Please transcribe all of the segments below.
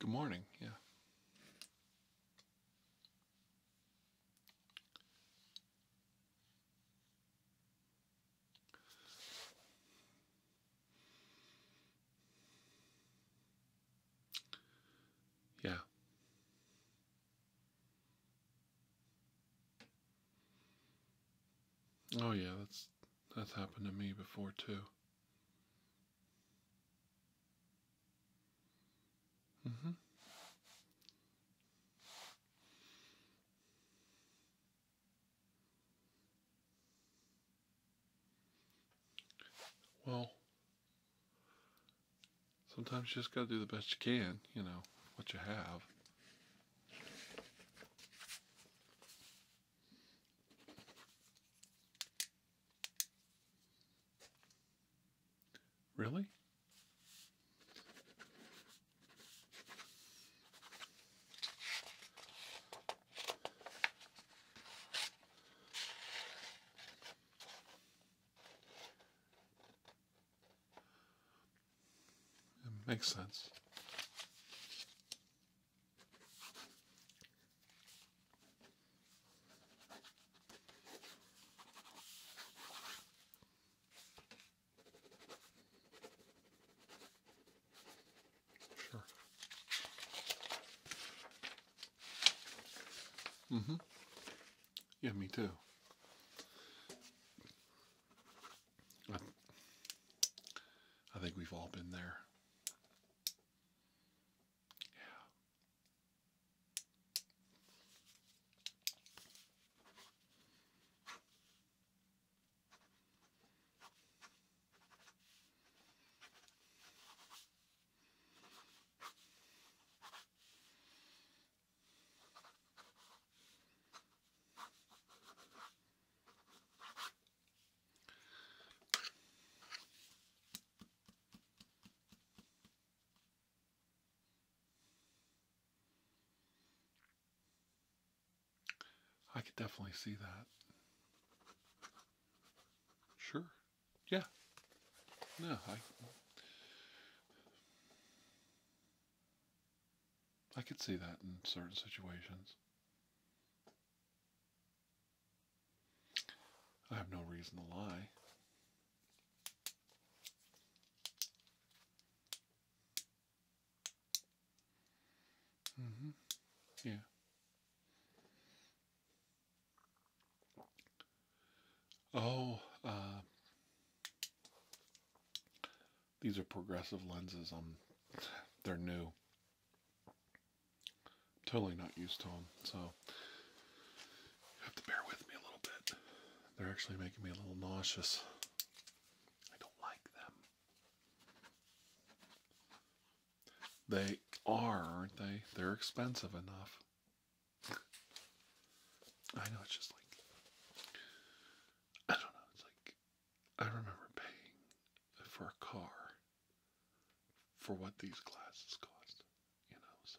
Good morning, yeah. Yeah. Oh yeah, that's that's happened to me before too. Mm-hmm. Well, sometimes you just got to do the best you can, you know, what you have. Really? It makes sense. Sure. Mm-hmm. Yeah, me too. I, think we've all been there. Yeah. I could definitely see that. Sure. Yeah. No, I I could see that in certain situations. I have no reason to lie. Mm-hmm. Yeah. Oh, uh, these are progressive lenses. Um, they're new. Totally not used to them, so have to bear with me a little bit. They're actually making me a little nauseous. I don't like them. They are, aren't they? They're expensive enough. I know it's just like I don't know, it's like I remember paying for a car for what these glasses cost, you know, so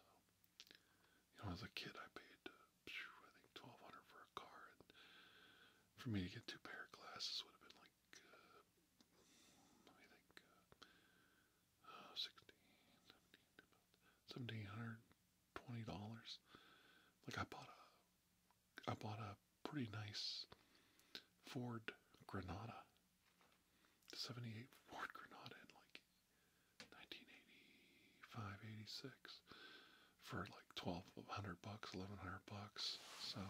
you know, as a kid I paid uh, I think twelve hundred for a car for me to get two pair of glasses would have been like uh, let me think uh, uh 16, about 1700 twenty dollars. Like I bought a, I bought a pretty nice Ford Granada, '78 Ford Granada like 1985, 86, for like twelve hundred bucks, eleven hundred bucks. So,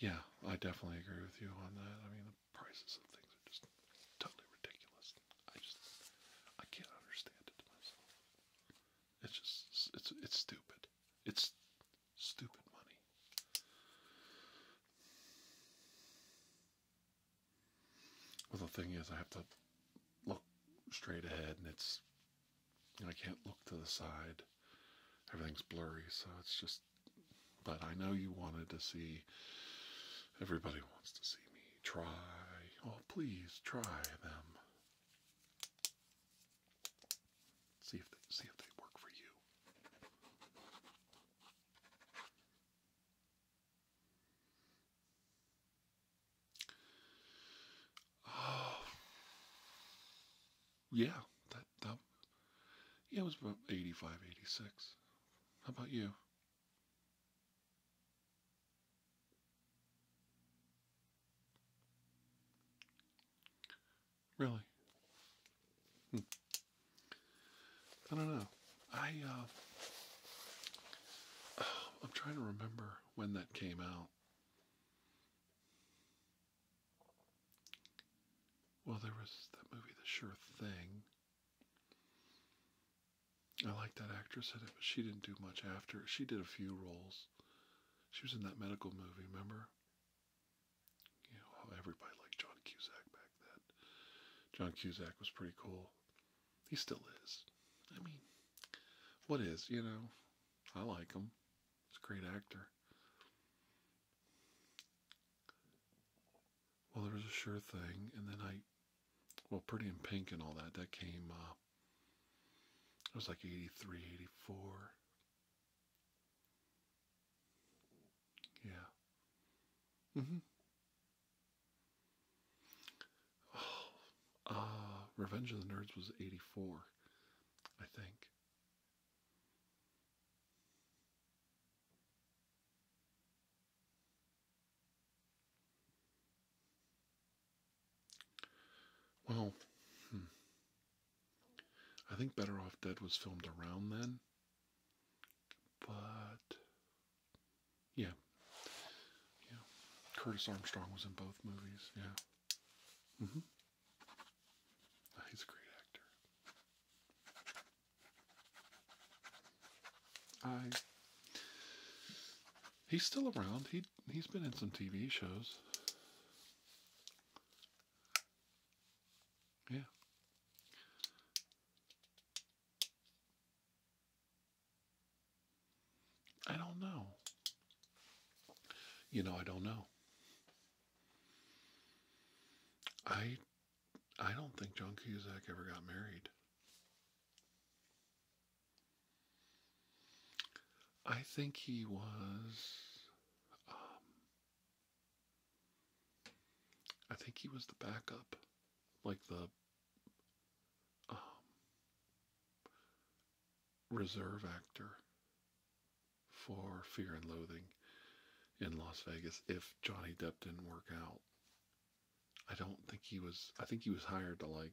yeah, I definitely agree with you on that. I mean, the prices of things just totally ridiculous. I just I can't understand it myself. It's just it's it's stupid. It's stupid money. Well, the thing is, I have to look straight ahead, and it's I can't look to the side. Everything's blurry, so it's just. But I know you wanted to see. Everybody wants to see me try. Oh, please try them. See if they, see if they work for you. Oh, yeah, that, that yeah, it was about 85, 86. How about you? Really? Hmm. I don't know. I, uh, I'm trying to remember when that came out. Well, there was that movie, The Sure Thing. I like that actress in it, but she didn't do much after. She did a few roles. She was in that medical movie, remember? You know how everybody liked John Cusack back then. John Cusack was pretty cool. He still is. I mean, what is, you know? I like him. He's a great actor. Well, there was a sure thing, and then I, well, Pretty in Pink and all that, that came, uh, it was like 83, 84. Yeah. Mm-hmm. Oh, uh, Revenge of the Nerds was 84, I think. Well, hmm. I think Better Off Dead was filmed around then, but yeah, yeah. Curtis Armstrong was in both movies. Yeah, mm-hmm. He's a great actor. I. He's still around. He he's been in some TV shows. Yeah. I don't know. You know, I don't know. I I don't think John Cusack ever got married. I think he was. Um, I think he was the backup, like the um, reserve actor for Fear and Loathing in Las Vegas if Johnny Depp didn't work out. I don't think he was. I think he was hired to like,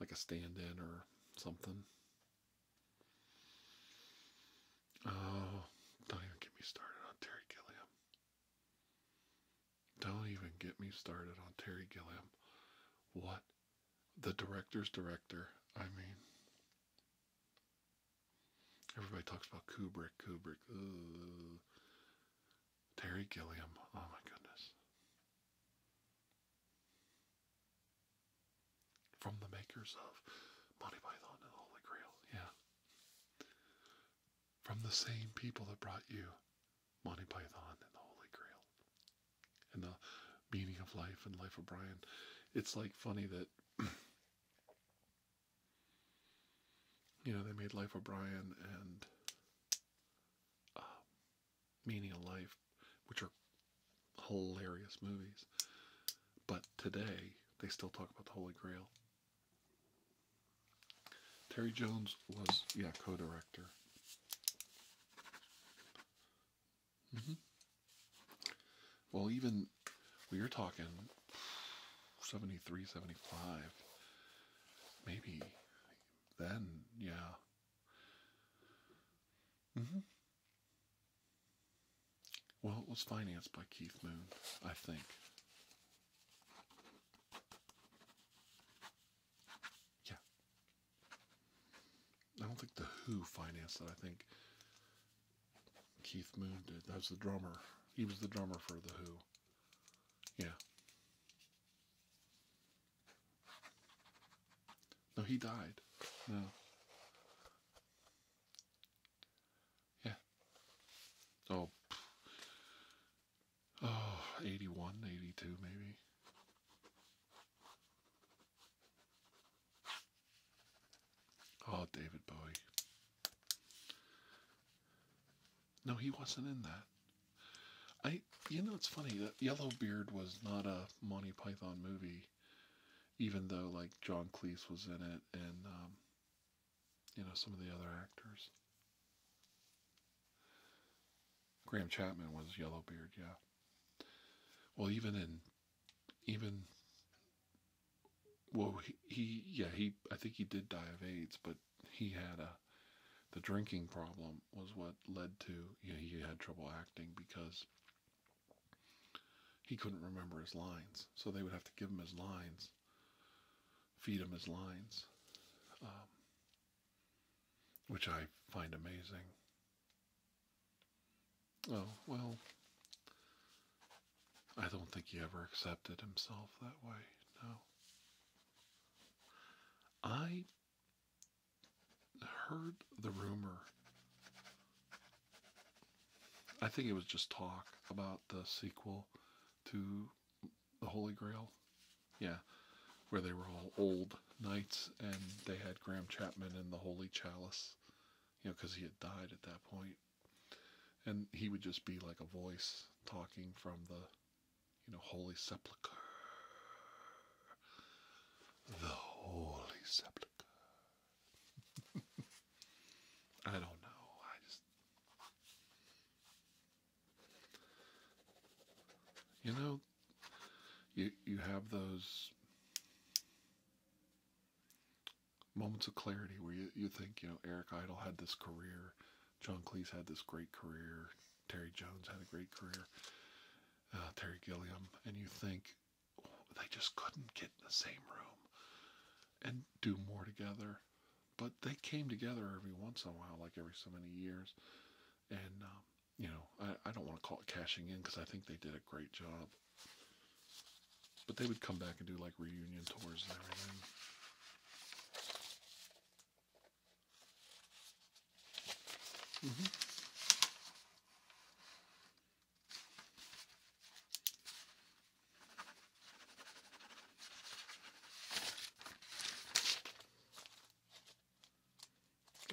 like a stand-in or something. Oh, don't even get me started on Terry Gilliam. Don't even get me started on Terry Gilliam. What? The director's director. I mean, everybody talks about Kubrick. Kubrick. Terry Gilliam. Oh my goodness. From the makers of Monty Python and the Holy Grail. Yeah. From the same people that brought you Monty Python and the Holy Grail. And the meaning of life and life of Brian. It's like funny that You know, they made Life O'Brien and uh, Meaning of Life, which are hilarious movies. But today, they still talk about the Holy Grail. Terry Jones was, yeah, co-director. Mm-hmm. Well, even we are talking 73, 75. Maybe then, yeah. hmm. Well, it was financed by Keith Moon, I think. Yeah. I don't think The Who financed it. I think Keith Moon did. That was the drummer. He was the drummer for The Who. Yeah. No, he died. No. Yeah. Oh. Oh, 81, 82 maybe. Oh, David Bowie. No, he wasn't in that. I, you know, it's funny that Yellowbeard was not a Monty Python movie, even though like John Cleese was in it and um, you know some of the other actors. Graham Chapman was Yellowbeard, yeah. Well, even in, even well, he, yeah, he, I think he did die of AIDS, but he had a, the drinking problem was what led to, you know, he had trouble acting because he couldn't remember his lines. So they would have to give him his lines, feed him his lines, um, which I find amazing. Oh, well, I don't think he ever accepted himself that way. No. I heard the rumor. I think it was just talk about the sequel to The Holy Grail. Yeah, where they were all old knights and they had Graham Chapman in the Holy Chalice. You know, because he had died at that point and he would just be like a voice talking from the you know holy sepulchre the holy sepulchre i don't know i just you know you you have those moments of clarity where you, you think, you know, Eric Idle had this career, John Cleese had this great career, Terry Jones had a great career, uh, Terry Gilliam, and you think they just couldn't get in the same room and do more together. But they came together every once in a while, like every so many years. And, um, you know, I, I don't want to call it cashing in because I think they did a great job. But they would come back and do like reunion tours and everything.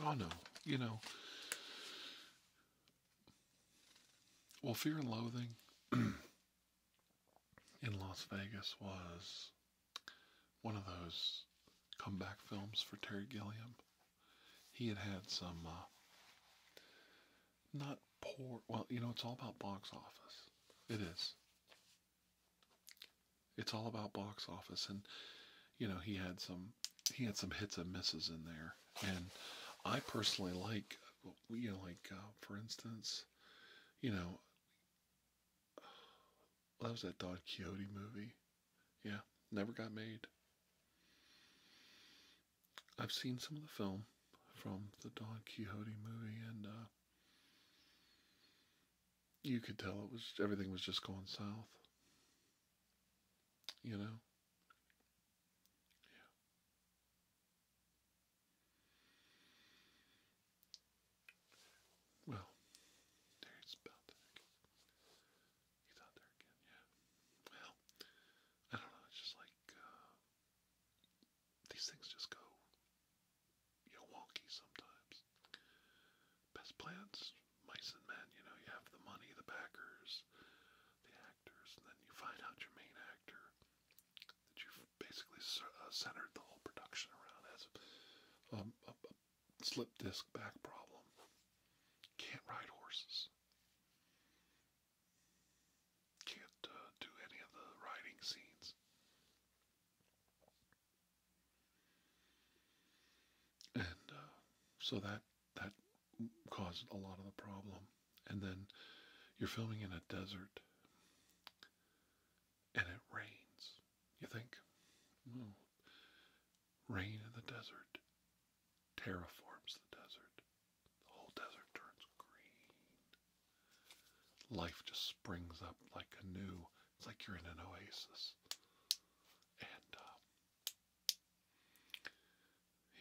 Oh mm-hmm. no, you know. Well, fear and loathing in Las Vegas was one of those comeback films for Terry Gilliam. He had had some uh, not poor, well, you know, it's all about box office. It is. It's all about box office, and you know he had some he had some hits and misses in there, and I personally like you like uh, for instance, you know, that was that Don Quixote movie. Yeah, never got made. I've seen some of the film from the Don Quixote movie, and uh, you could tell it was everything was just going south. You know. Well, there's about that. He's out there again, yeah. Well, I don't know. It's just like uh, these things just go, wonky sometimes. Best plans, mice and men. You know, you have the money, the backers, the actors, and then you find out your main actor that you basically uh, centered the whole production around as um, a, slip disc back problem. Can't ride horses. Can't uh, do any of the riding scenes. And uh, so that that caused a lot of the problem and then you're filming in a desert and it rains. You think, rain in the desert terraforms the desert. The whole desert turns green. Life just springs up like a new. It's like you're in an oasis. And uh,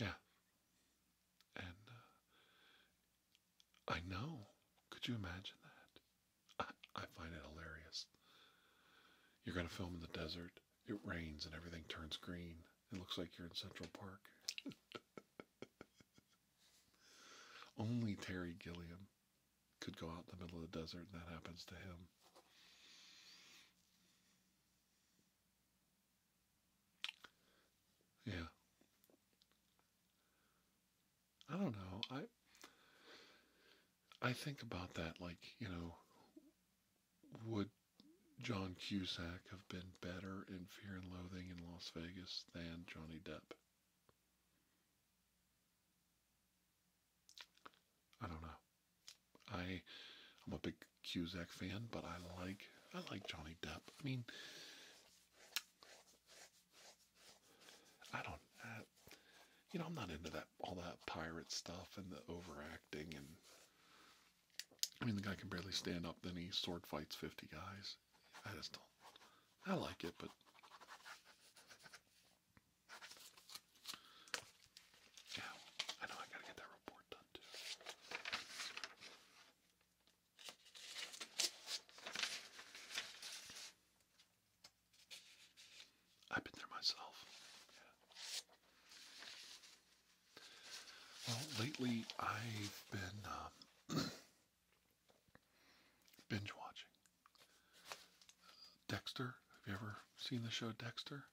yeah, and uh, I know. Could you imagine that? I find it hilarious. You're going to film in the desert. It rains and everything turns green. It looks like you're in Central Park. Only Terry Gilliam could go out in the middle of the desert and that happens to him. Yeah. I don't know. I I think about that like, you know, would John Cusack have been better in Fear and Loathing in Las Vegas than Johnny Depp? I don't know. I I'm a big Cusack fan, but I like I like Johnny Depp. I mean, I don't, uh, you know, I'm not into that all that pirate stuff and the overacting and. I mean, the guy can barely stand up. Then he sword fights fifty guys. I just don't. I like it, but yeah, I know I gotta get that report done too. I've been there myself. Well, lately I've been um, binge watching Dexter. Have you ever seen the show Dexter?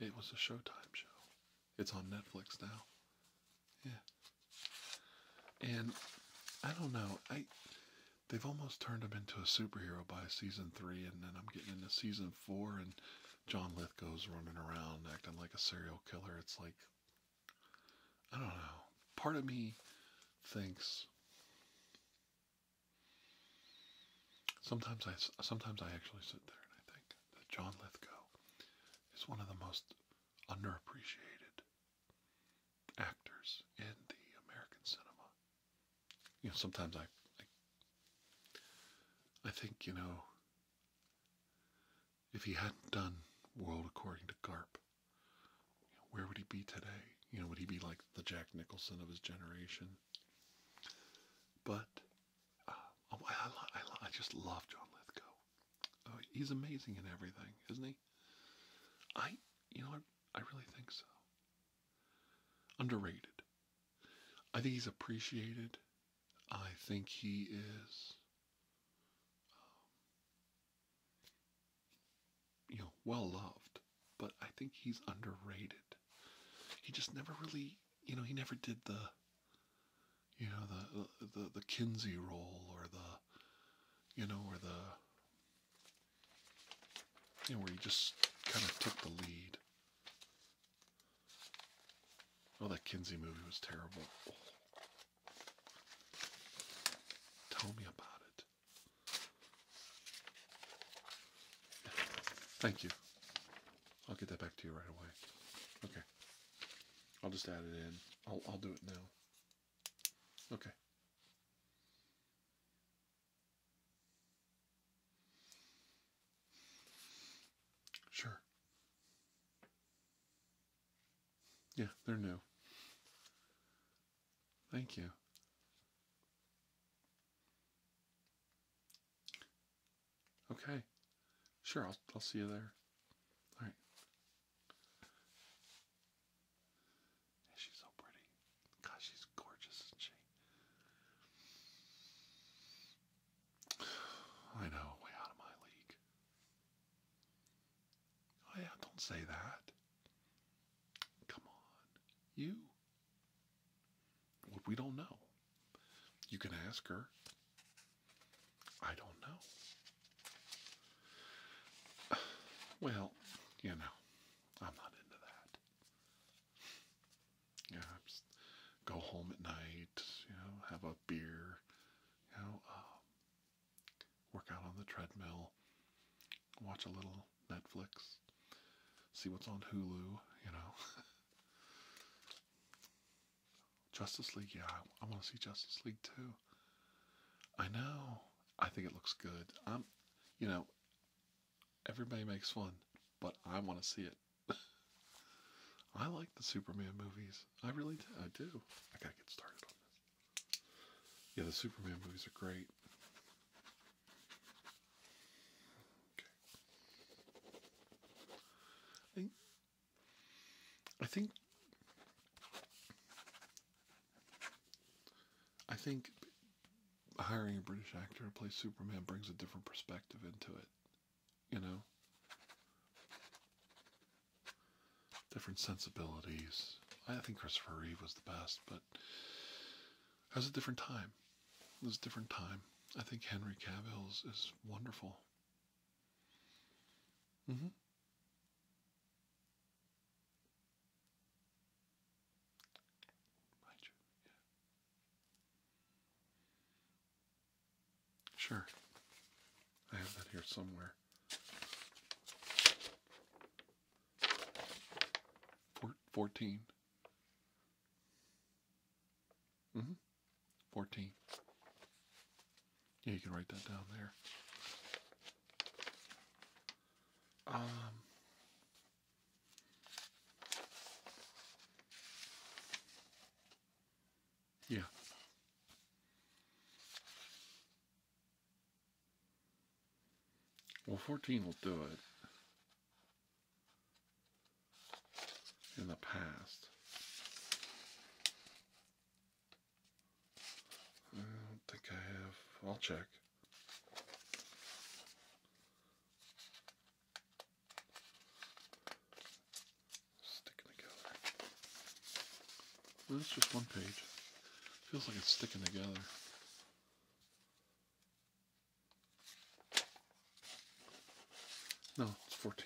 It was a Showtime show. It's on Netflix now. Yeah. And I don't know. I they've almost turned him into a superhero by season three, and then I'm getting into season four, and John goes running around acting like a serial killer. It's like I don't know. Part of me thinks sometimes I sometimes I actually sit there and I think that John go is one of the most underappreciated actors in the American cinema. You know, sometimes I, I, think you know, if he hadn't done World According to Garp, where would he be today? You know, would he be like the Jack Nicholson of his generation? But uh, I, just love John Lithgow. Oh, he's amazing in everything, isn't he? I, you know, I, really think so. Underrated. I think he's appreciated. I think he is, um, you know, well loved, but I think he's underrated. He just never really, you know, he never did the you know the the the Kinsey role or the you know or the you know, where you just kind of took the lead. Oh, that Kinsey movie was terrible. Tell me about it. Thank you. I'll get that back to you right away. Okay. I'll just add it in. I'll, I'll do it now. Okay. Sure. Yeah, they're new. Thank you. Okay. Sure, I'll I'll see you there. All right. she's so pretty. Gosh, she's gorgeous, she? I know, way out of my league. Oh yeah, don't say that. Come on. You? we don't know. You can ask her. I don't know. Well, you know, I'm not into that. Yeah, just go home at night, you know, have a beer, you know, um, work out on the treadmill, watch a little Netflix, see what's on Hulu, you know. Justice League, yeah, I, want to see Justice League too. I know. I think it looks good. I'm, you know, everybody makes fun, but I want to see it. I like the Superman movies. I really do. I do. I gotta get started on this. Yeah, the Superman movies are great. I think, I think, I think hiring a British actor to play Superman brings a different perspective into it, you know? Different sensibilities. I think Christopher Reeve was the best, but that was a different time. It was a different time. I think Henry Cavill's is wonderful. Mm-hmm. Sure. I have that here somewhere. Four, Fourteen hmm. 14. Yeah, you can write that down there. Um. Yeah. Well, 14 will do it in the past. I don't think I have. I'll check. Sticking together. Well, just one page. Feels like it's sticking together. No, it's 14.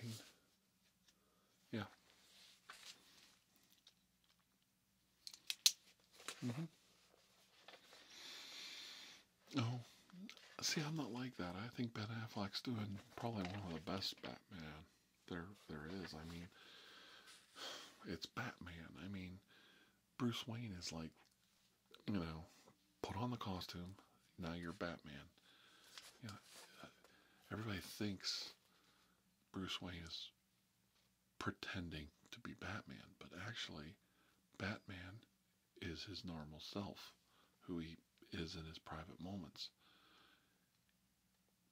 Yeah. Mm hmm Oh, see, I'm not like that. I think Ben Affleck's doing probably one of the best Batman there there is. I mean, it's Batman. I mean, Bruce Wayne is like you know, put on the costume. Now you're Batman. You know, everybody thinks Bruce Wayne is pretending to be Batman, but actually, Batman is his normal self, who he is in his private moments.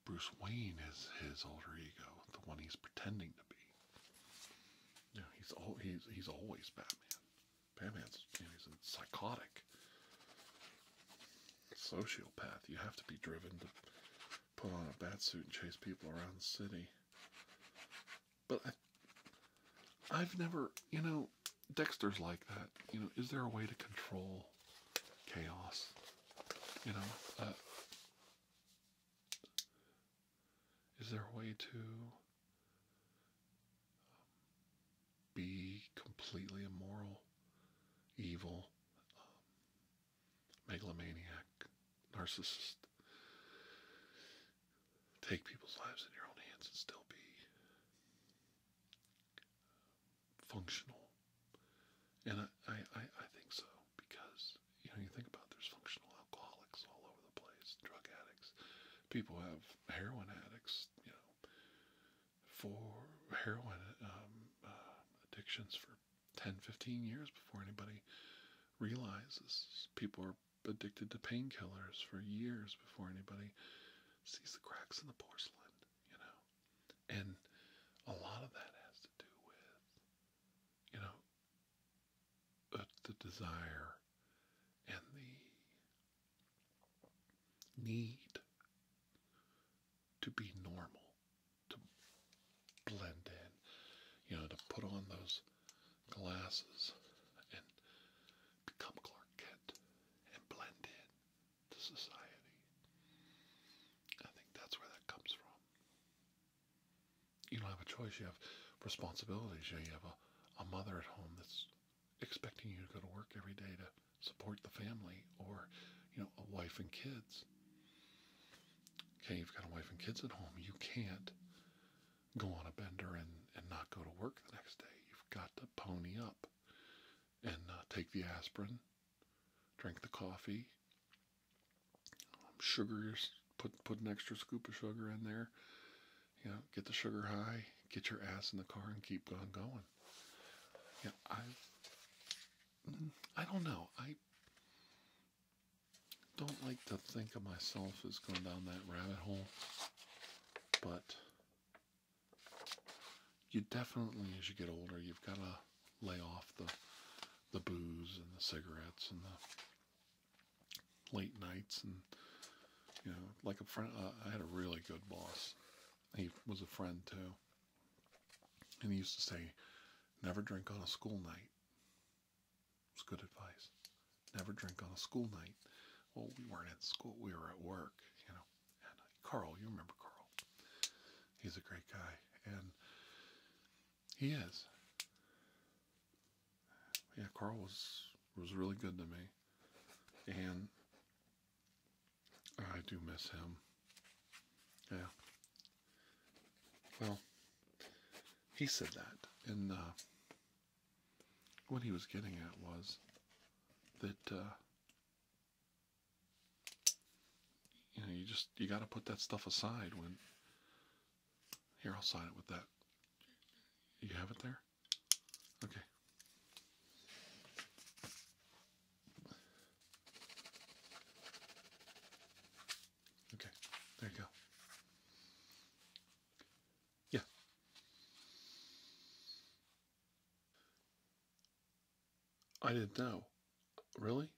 Bruce Wayne is his alter ego, the one he's pretending to be. Yeah, he's al- he's he's always Batman. Batman's you know, he's a psychotic sociopath. You have to be driven to put on a batsuit and chase people around the city. But I, I've never, you know, Dexter's like that. You know, is there a way to control chaos? You know, uh, is there a way to be completely immoral, evil, um, megalomaniac, narcissist. Take people's lives in your own hands and still be um, functional. And I, I, I think so because, you know, you think about there's functional alcoholics all over the place, drug addicts. People have heroin addicts, you know, for heroin um, uh, addictions for 10, 15 years before anybody realizes. People are addicted to painkillers for years before anybody sees the cracks in the porcelain, you know. And a lot of that has to do with, you know, but the desire and the need to be normal, to blend in, you know, to put on those glasses and become Clark Kent and blend in to society. I think that's where that comes from. You don't have a choice, you have responsibilities, you have a a mother at home that's expecting you to go to work every day to support the family or you know a wife and kids okay you've got a wife and kids at home you can't go on a bender and and not go to work the next day you've got to pony up and uh, take the aspirin drink the coffee um, sugars Put put an extra scoop of sugar in there. You know, get the sugar high, get your ass in the car, and keep on going. Yeah, I I don't know. I don't like to think of myself as going down that rabbit hole, but you definitely, as you get older, you've got to lay off the the booze and the cigarettes and the late nights and you know like a friend uh, i had a really good boss he was a friend too and he used to say never drink on a school night it's good advice never drink on a school night well we weren't at school we were at work you know carl you remember carl he's a great guy and he is yeah, Carl was was really good to me, and I do miss him. Yeah. Well, he said that, and uh, what he was getting at was that uh, you know you just you got to put that stuff aside when here, I'll sign it with that. You have it there? Okay. Okay, there you go. Yeah. I didn't know. Really?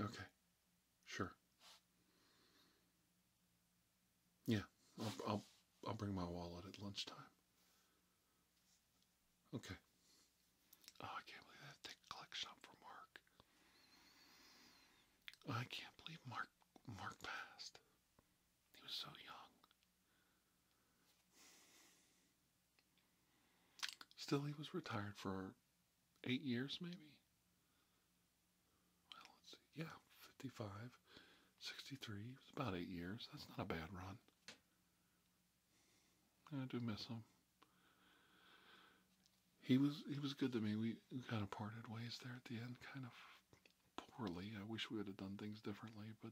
Okay. Sure. Yeah, I'll, I'll, I'll bring my wallet at lunchtime. Okay. Oh, I can't believe that thick collection for Mark. I can't believe Mark Mark passed. He was so young. Still, he was retired for eight years, maybe well, let's see, yeah, 55, 63, it was about eight years. That's not a bad run. I do miss him. He was he was good to me. We kind of parted ways there at the end, kind of poorly. I wish we would have done things differently, but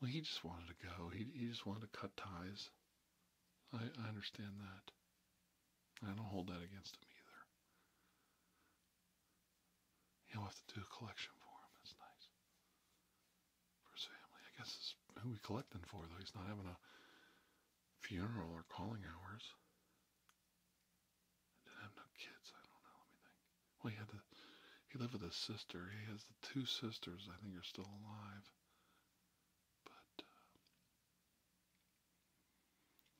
well, he just wanted to go. He he just wanted to cut ties. I I understand that. I don't hold that against him either. He'll have to do a collection for him. That's nice. For his family. I guess who we collecting for, though. He's not having a funeral or calling hours. I didn't have no kids. I don't know. Let me think. Well, he had the... He lived with his sister. He has the two sisters I think are still alive. But uh,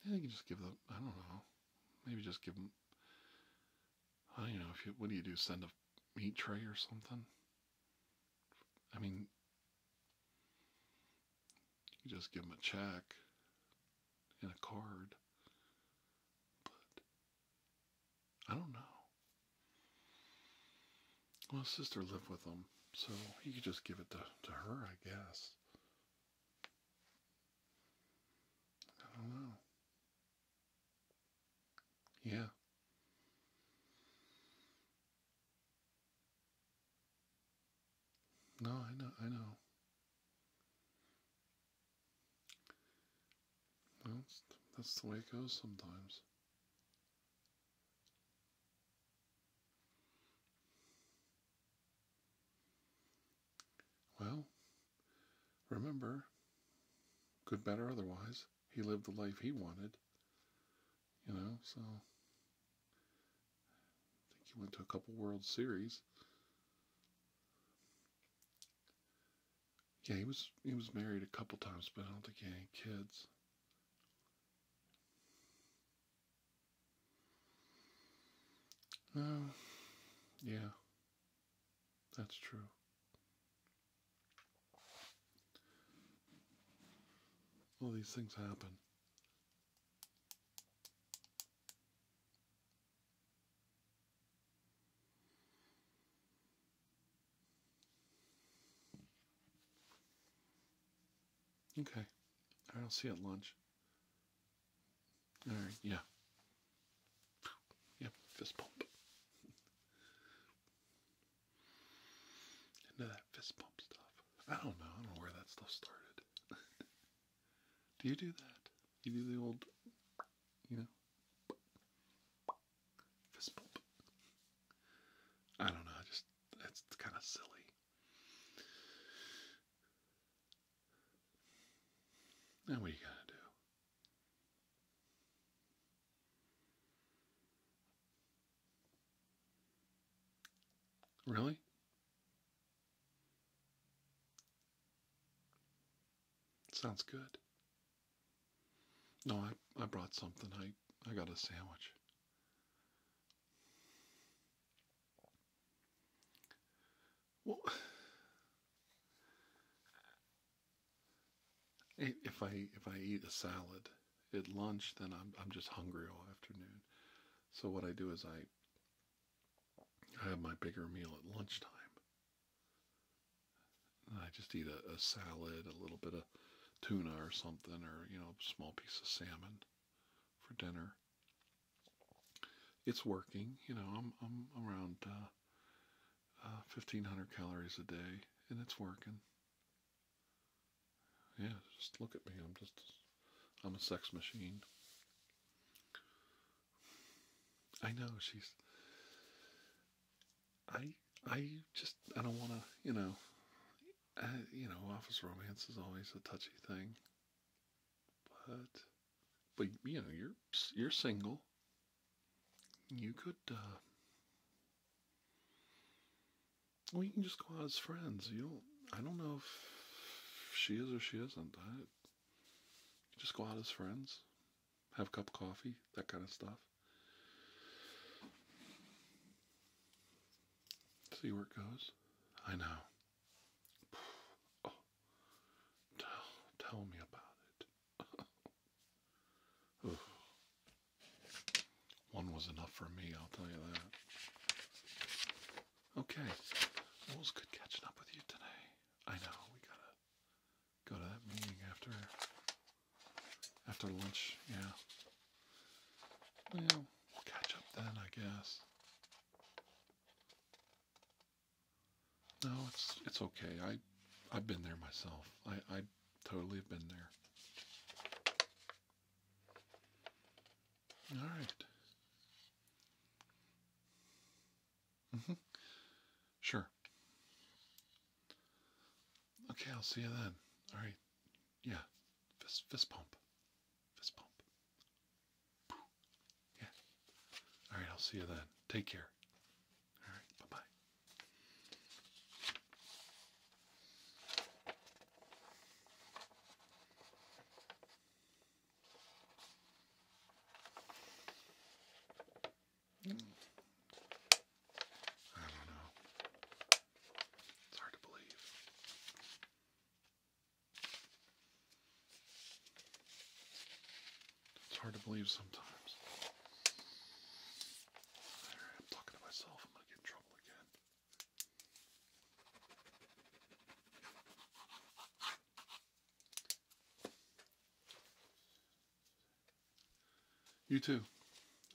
yeah, you can just give them. I don't know, maybe just give them, I don't know, if what do you do, send a meat tray or something? I mean, you just give them a check and a card, but I don't know. Well, sister lived with them, so you could just give it to, to her, I guess. I don't know. Yeah. No, I know, I know. Well, that's the way it goes sometimes. Well, remember, good, bad, otherwise, he lived the life he wanted. You know, so I think he went to a couple World Series. Yeah, he was he was married a couple times, but I don't think he had any kids. No, yeah, that's true. All these things happen. Okay. right, I'll see you at lunch. All right, yeah. Yep, fist bump. Into that fist bump stuff. I don't know. I don't know where that stuff started. do you do that? You do the old, you know, fist bump. I don't know. just that's kind of silly. Now, what you going to do? Really? Sounds good. No, I, I brought something. I, I got a sandwich. Well, if I if I eat a salad at lunch, then I'm I'm just hungry all afternoon. So what I do is I I have my bigger meal at lunchtime. And I just eat a, a salad, a little bit of tuna or something, or you know, a small piece of salmon for dinner. It's working, you know. I'm I'm around 1,500 uh, uh, calories a day, and it's working. Yeah, just look at me. I'm just I'm a sex machine. I know she's. I I just I don't want to you know uh, you know, office romance is always a touchy thing. But, but you know, you're you're single. You could. Uh, well, you can just go out as friends. You do I don't know if she is or she isn't. just go out as friends, have a cup of coffee, that kind of stuff. See where it goes. I know. Oh. tell, tell me about it. One was enough for me, I'll tell you that. Okay, well, it was good catching up with you today. I know we gotta go to that meeting after after lunch. Yeah. Well, catch up then, I guess. No, it's it's okay. I I've been there myself. I I totally have been there. All right. Mm-hmm. Sure. Okay, I'll see you then. All right. Yeah. Fist, fist pump. Fist pump. Yeah. All right. I'll see you then. Take care. All right. Bye bye. Hmm. I don't know. It's hard to believe. It's hard to believe sometimes. I'm talking to myself. I'm going to get in trouble again. You too.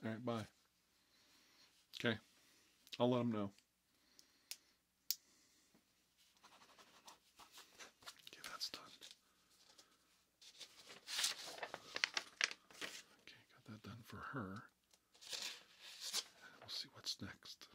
All right, bye. Okay. I'll let him know. Okay, that's done. Okay, got that done for her. we'll see what's next.